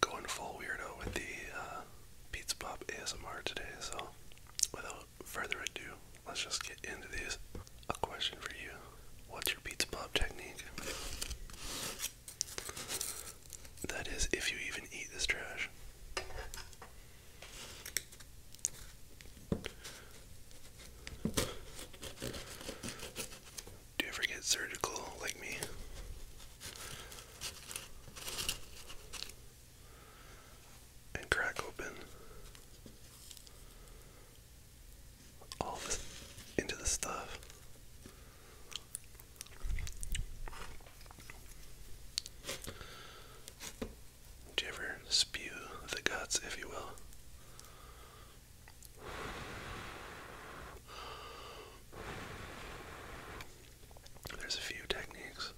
Going full weirdo with the uh, Pizza Pop ASMR today, so without further ado, let's just get into these. A question for you What's your Pizza Pop technique? That is, if you even eat this trash. Do you ever get surgical like me? And crack open all this into the stuff. Do you ever spew the guts, if you will? There's a few techniques.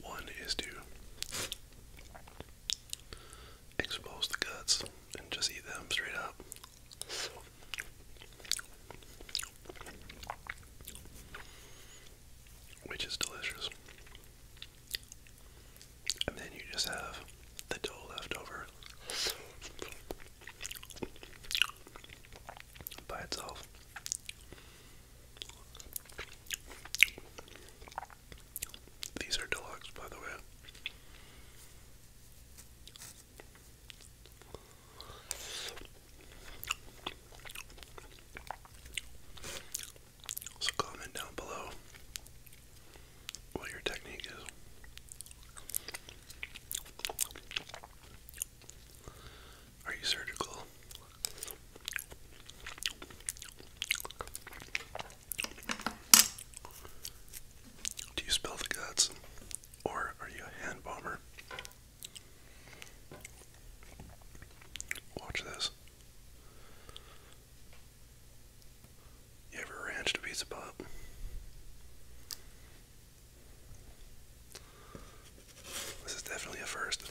One is to expose the guts and just eat them straight up which is delicious. And then you just have the dough left over by itself. These are deluxe, by the way. So comment down below what your technique is. Are you surgical? Do you spell the guts? Or are you a hand bomber? Watch this. You ever ranched a piece pop? This is definitely a first.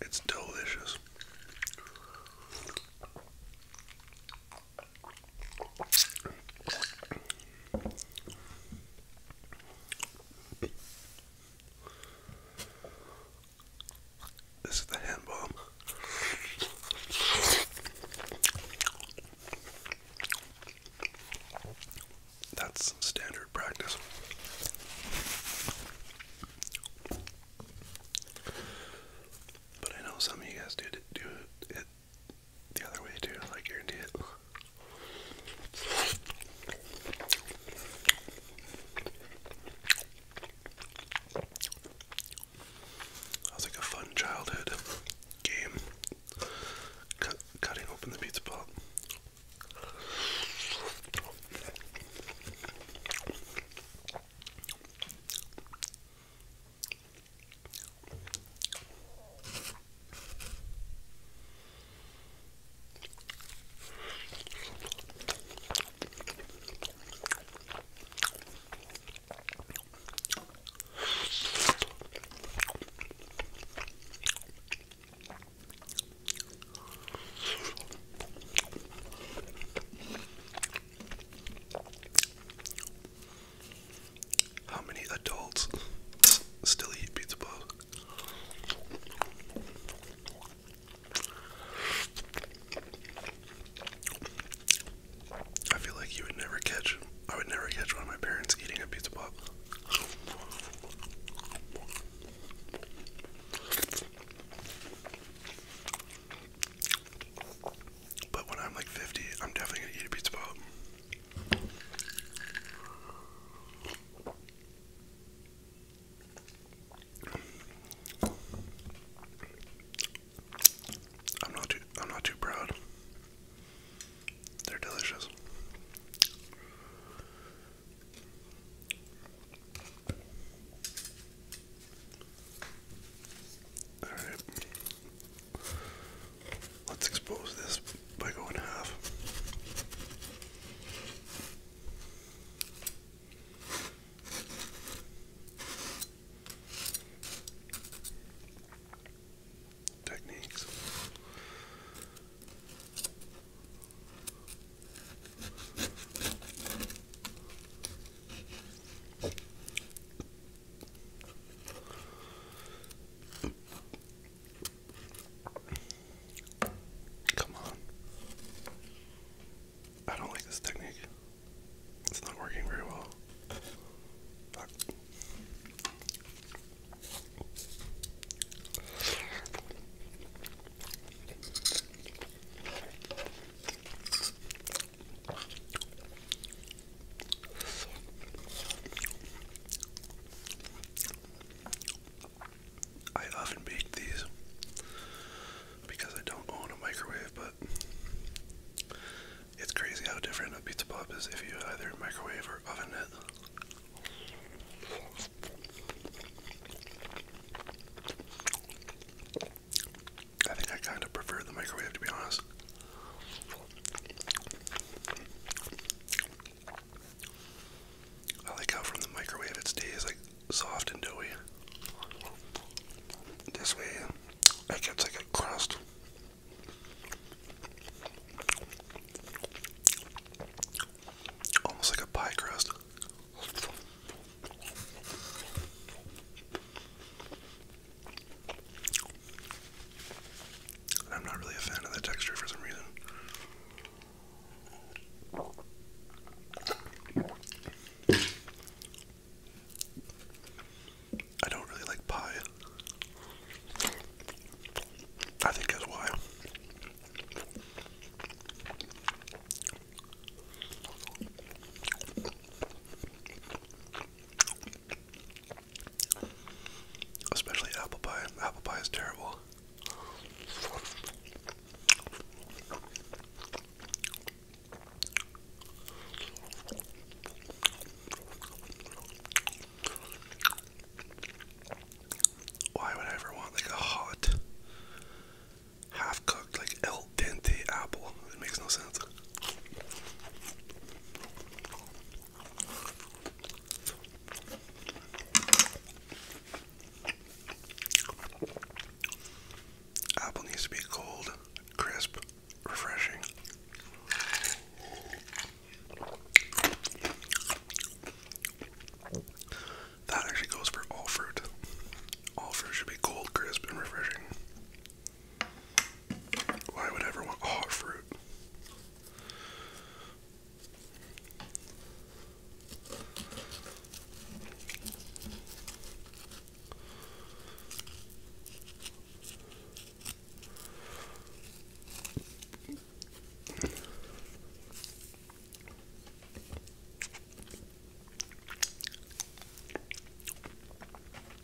It's delicious. This is the hand bomb. That's standard practice. But I know some of you guys do it, do it the other way too, like you're into that was like a fun childhood game. cutting open the pizza pot. How many adults still eat pizza balls? I feel like you would never catch, I would never catch one of my parents eating a pizza pop. But when I'm like 50, I'm definitely gonna eat a pizza pop. I'm not too I'm not too proud. They're delicious. All right. Let's expose this by going half. Techniques. Come on. I don't like this technique. It's not working very well. Fuck. I often bake these because I don't own a microwave, but it's crazy how different a pizza pop is if you either microwave or oven it. I think I kind of prefer the microwave to be honest. I like how from the microwave it stays like soft and doughy. This way it gets like a crust. Almost like a pie crust. And I'm not really a fan of the texture for some reason. I don't really like pie. I think that's why. Especially apple pie. Apple pie is terrible. Why would I ever want like a hot, half cooked, like el dente apple? It makes no sense. Apple needs to be cold, crisp, refreshing. That actually goes for all fruit. All fruit should be cold, crisp, and refreshing. Why would ever want hot fruit?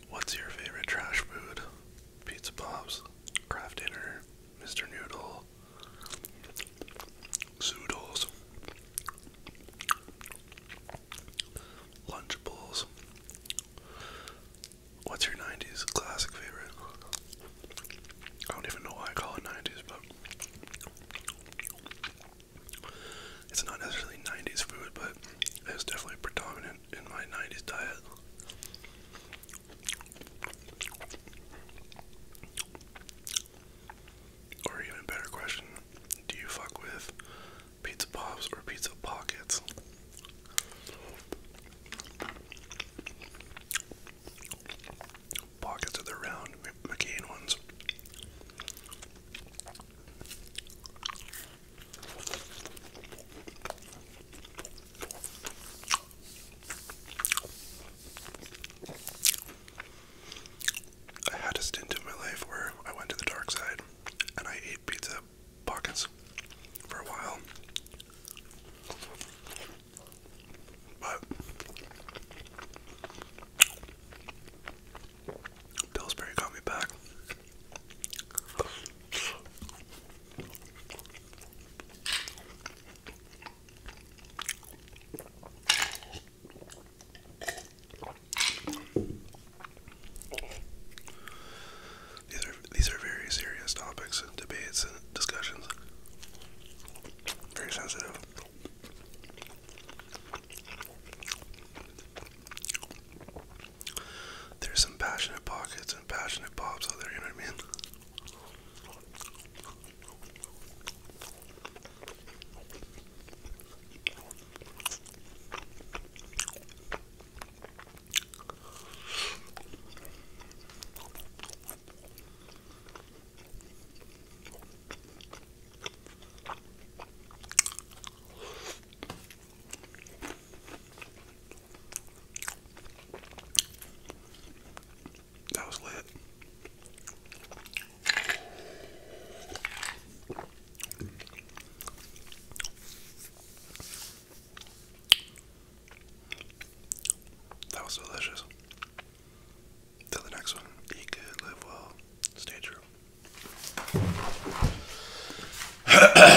What's your favorite trash food? Pizza Pops, Kraft Dinner, Mr. Noodle, zoodles, lunchables. What's your '90s classic favorite? I don't even know why I call it '90s, but it's not necessarily '90s food, but it's definitely predominant in my '90s diet. Or even better question, do you fuck with pizza pops or pizza pockets? Pockets are the round McCain ones. I had a stint in my life where I went to the dark side and I ate pizza pockets for a while. But Pillsbury got me back. These are these are very serious topics and debates and discussions. Very sensitive. There's some passionate pockets passionate pops out there, you know what I mean? That was lit. That was delicious. Till the next one, eat good, live well, stay true.